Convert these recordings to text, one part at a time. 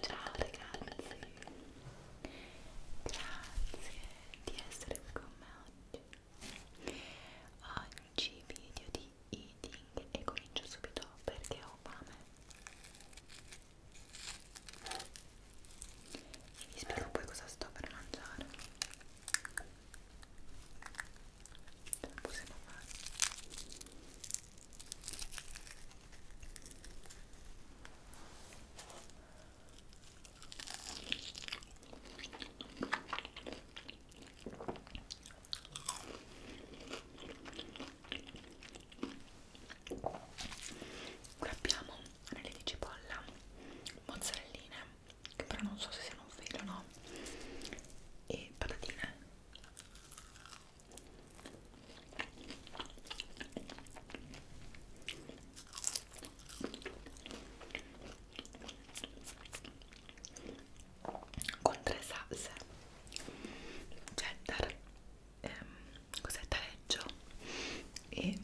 Ciao ragazzi, grazie di essere qui con me oggi. Oggi video di eating e comincio subito perché ho fame e vi spiego poi cosa sto per mangiare ce la possiamo fare Qui abbiamo anelli di cipolla, mozzarelline, che però non so se siano un filo o no, e patatine con tre salse cheddar ehm, cos'è taleggio e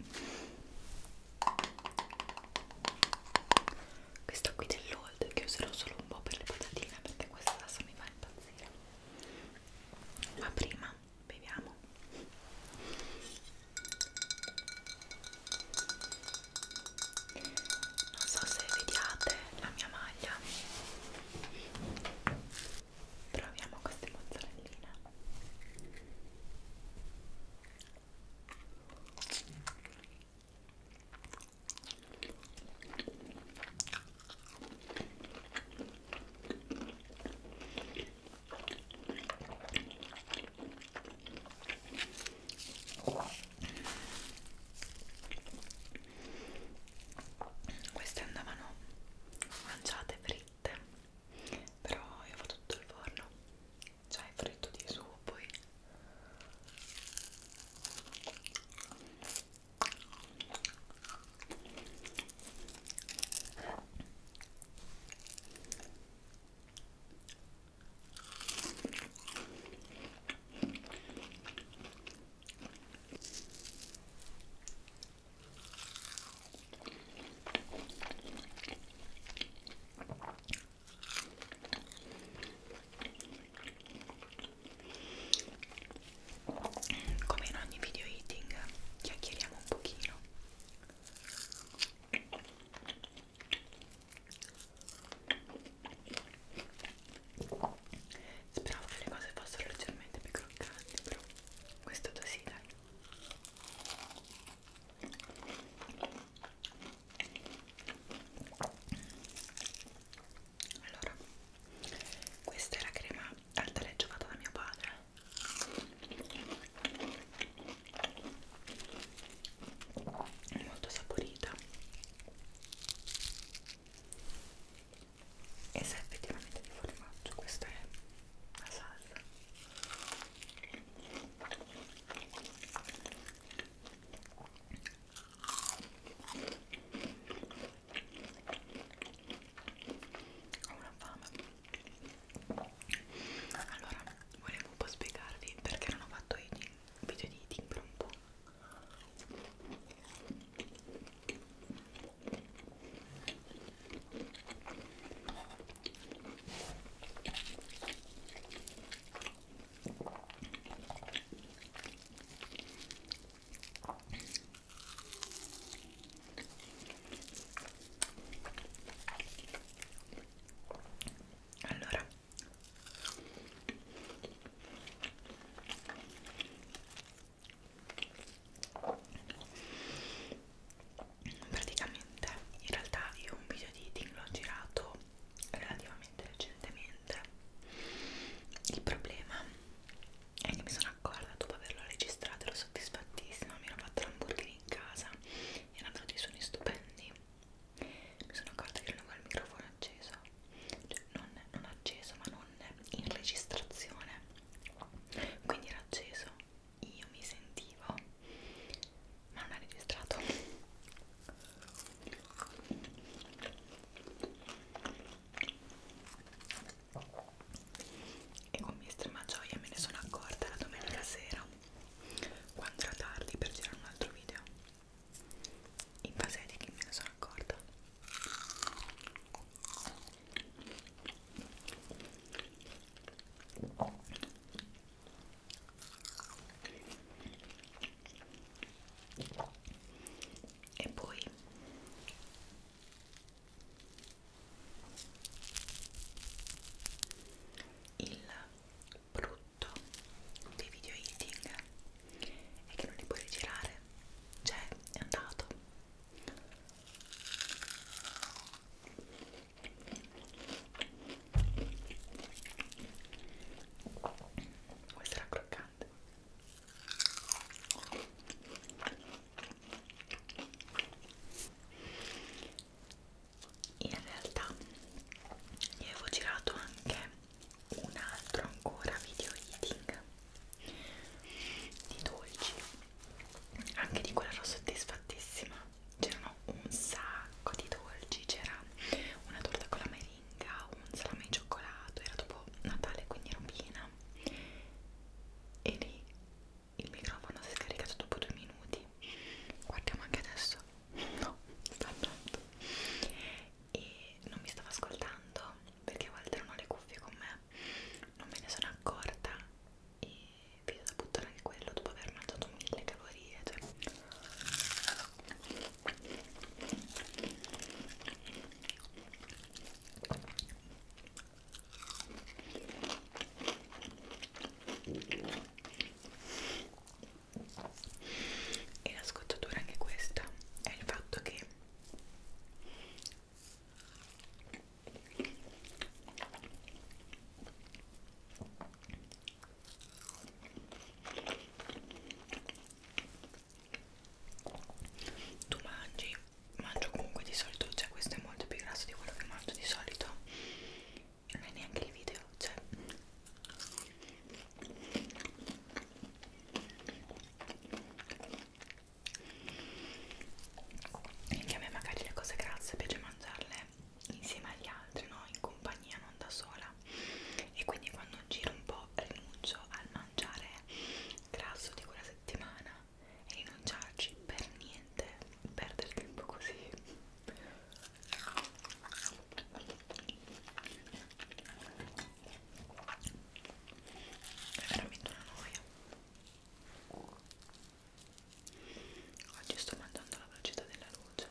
questo qui dell'old che userò solo un po' per le patatine perché questa adesso mi fa impazzire ma prima beviamo non so se vediate la mia maglia proviamo queste mozzarelline queste andavano mangiate fritte però io ho tutto il forno cioè fritto di su poi come in ogni video eating, chiacchieriamo un pochino. Speravo che le cose fossero leggermente più croccanti, però questo così dai. Allora, questa è la crema al taleggio fatta da mio padre molto saporita e sa effettivamente di formaggio questa è la salsa ho una fame allora volevo un po' spiegarvi perché non ho fatto eating video di eating per un po' allora praticamente in realtà io un video di eating l'ho girato relativamente recentemente il problema è che mi sono accorta dopo averlo registrato ero soddisfattissima mi ero fatta l'hamburger in casa erano dei suoni stupendi mi sono accorta che non ho il microfono acceso cioè non, non acceso ma non in registrazione quindi era acceso io mi sentivo ma non ha registrato e con estrema gioia me ne sono accorta la domenica sera quando era tardi per girare un altro video in base di che me ne sono accorta e poi il brutto brutto dei video eating è che non li puoi rigirare cioè è andato questo era croccante in realtà vi avevo girato anche un altro ancora video eating di dolci anche di quello ero soddisfattissima c'erano un sacco di dolci c'era una torta con la meringa un salame di cioccolato era dopo Natale quindi ero piena e lì il microfono si è scaricato dopo due minuti guardiamo anche adesso no sta andando e non mi stavo ascoltando perché Walter non ha le cuffie con me non me ne sono accorta e vi da buttare anche quello dopo aver mangiato mille calorie cioè e la scocciatura anche questa è il fatto che tu mangi mangio comunque di solito cioè questo è molto più grasso di quello che mangio di solito non è neanche il video, cioè anche a me magari le cose grasse piace mangiarle insieme agli altri, no? In compagnia, non da sola e quindi quando giro un po' rinuncio al mangiare grasso di quella settimana e rinunciarci per niente perdere tempo così è veramente una noia oggi sto mangiando alla velocità della luce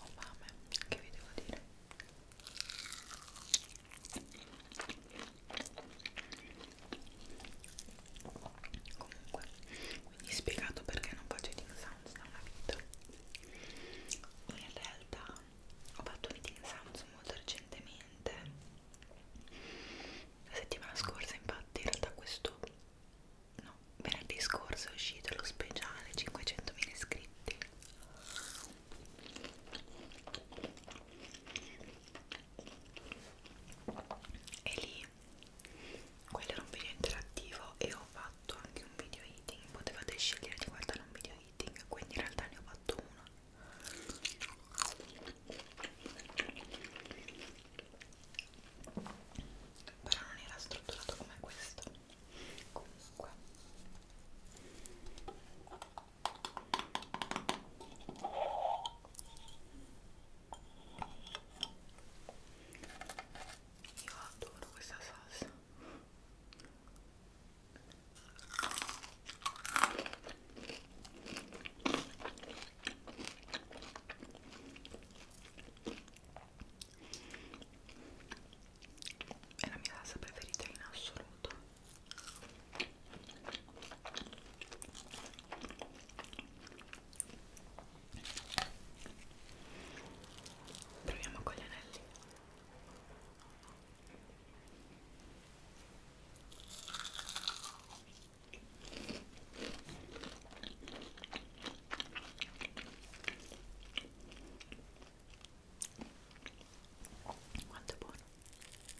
ho fame, che vi devo dire comunque quindi spiegato perché non faccio eating sounds da una vita in realtà ho fatto un eating sounds molto recentemente la settimana scorsa infatti in realtà questo no, venerdì scorso è uscito lo speciale 500.000 iscritti e lì quello era un video interattivo e ho fatto anche un video eating potevate scegliere di guardare un video eating quindi in realtà ne ho fatto uno però non era strutturato come questo comunque io adoro questa salsa. È la mia salsa preferita in assoluto. Proviamo con gli anelli. Quanto è buono.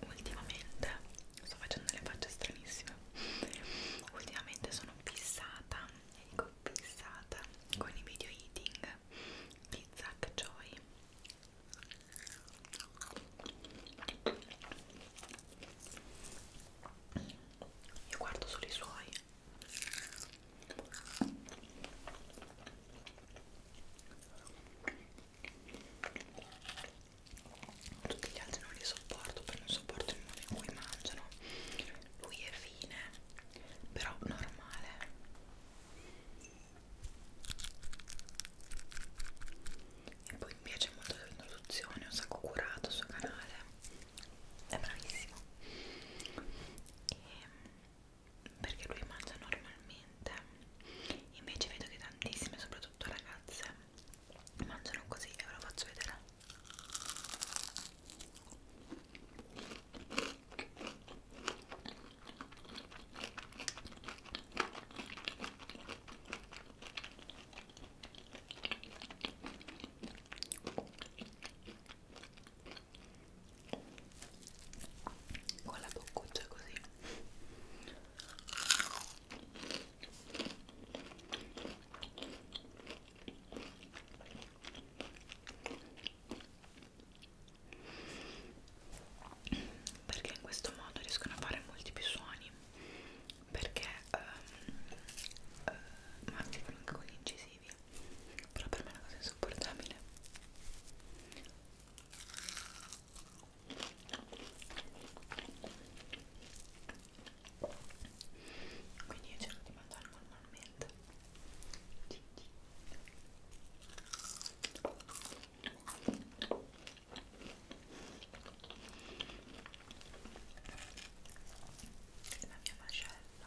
Ultimamente sto facendo le facce stranissime. Ultimamente sono fissata, e dico fissata con i video eating di Zack Joy. Io guardo solo i suoi tutti gli altri non li sopporto perché non sopporto il modo in cui mangiano lui è fine però normale e poi mi piace molto l'introduzione ho sacco curato il suo canale è bravissimo e ehm, perché lui mangia normalmente invece vedo che tantissime soprattutto ragazze mangiano così e ve lo faccio vedere con la boccuccia così perché in questo modo riescono a fare molti più suoni perché um, uh, ma anche con gli incisivi aggressivi però per me è una cosa insopportabile quindi io cerco di mangiare normalmente la mia mascella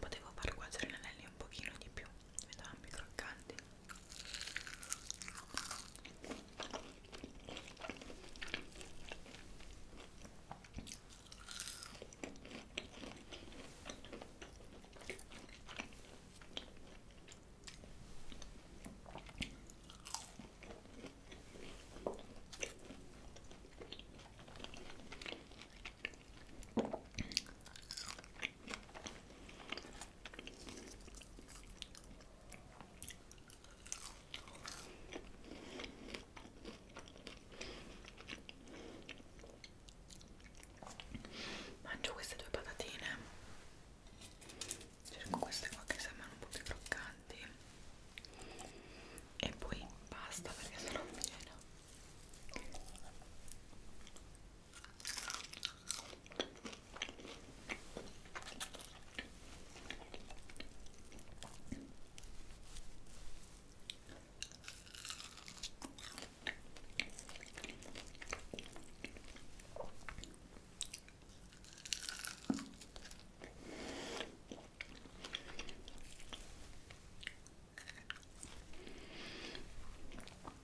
Potevo far cuocere gli anelli un pochino di più, diventavano più croccanti. Mangio queste due patatine cerco queste qua che sembrano un po' più croccanti e poi basta perché sono piena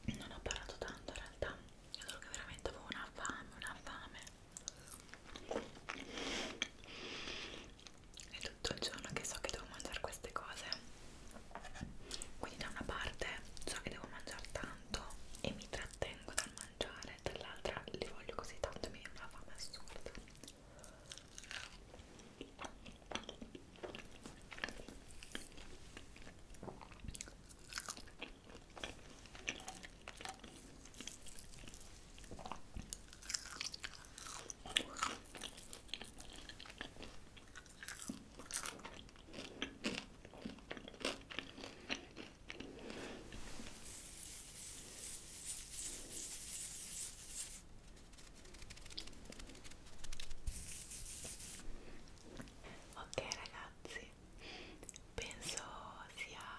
non ho parlato tanto in realtà, è solo che veramente avevo una fame, una fame. È tutto il giorno che so che devo mangiare queste cose. Quindi da una parte so che devo mangiare tanto tanto e mi trattengo dal mangiare, dall'altra li voglio così tanto, mi viene una fame assurda. Ok ragazzi, penso sia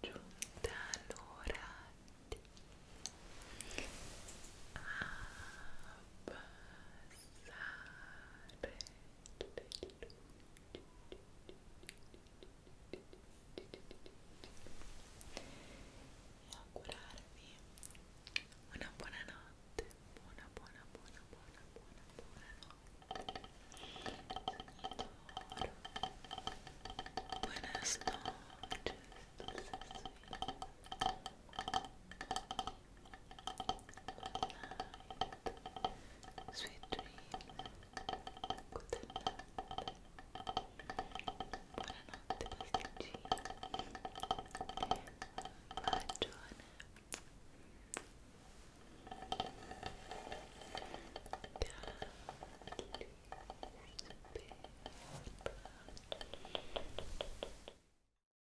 giunta l'ora di abbassare e augurarvi buona notte buona buona buona buona buona buona notte Buenas night. Sweet dreams. Good night. Buonanotte pasticcini. Ragione.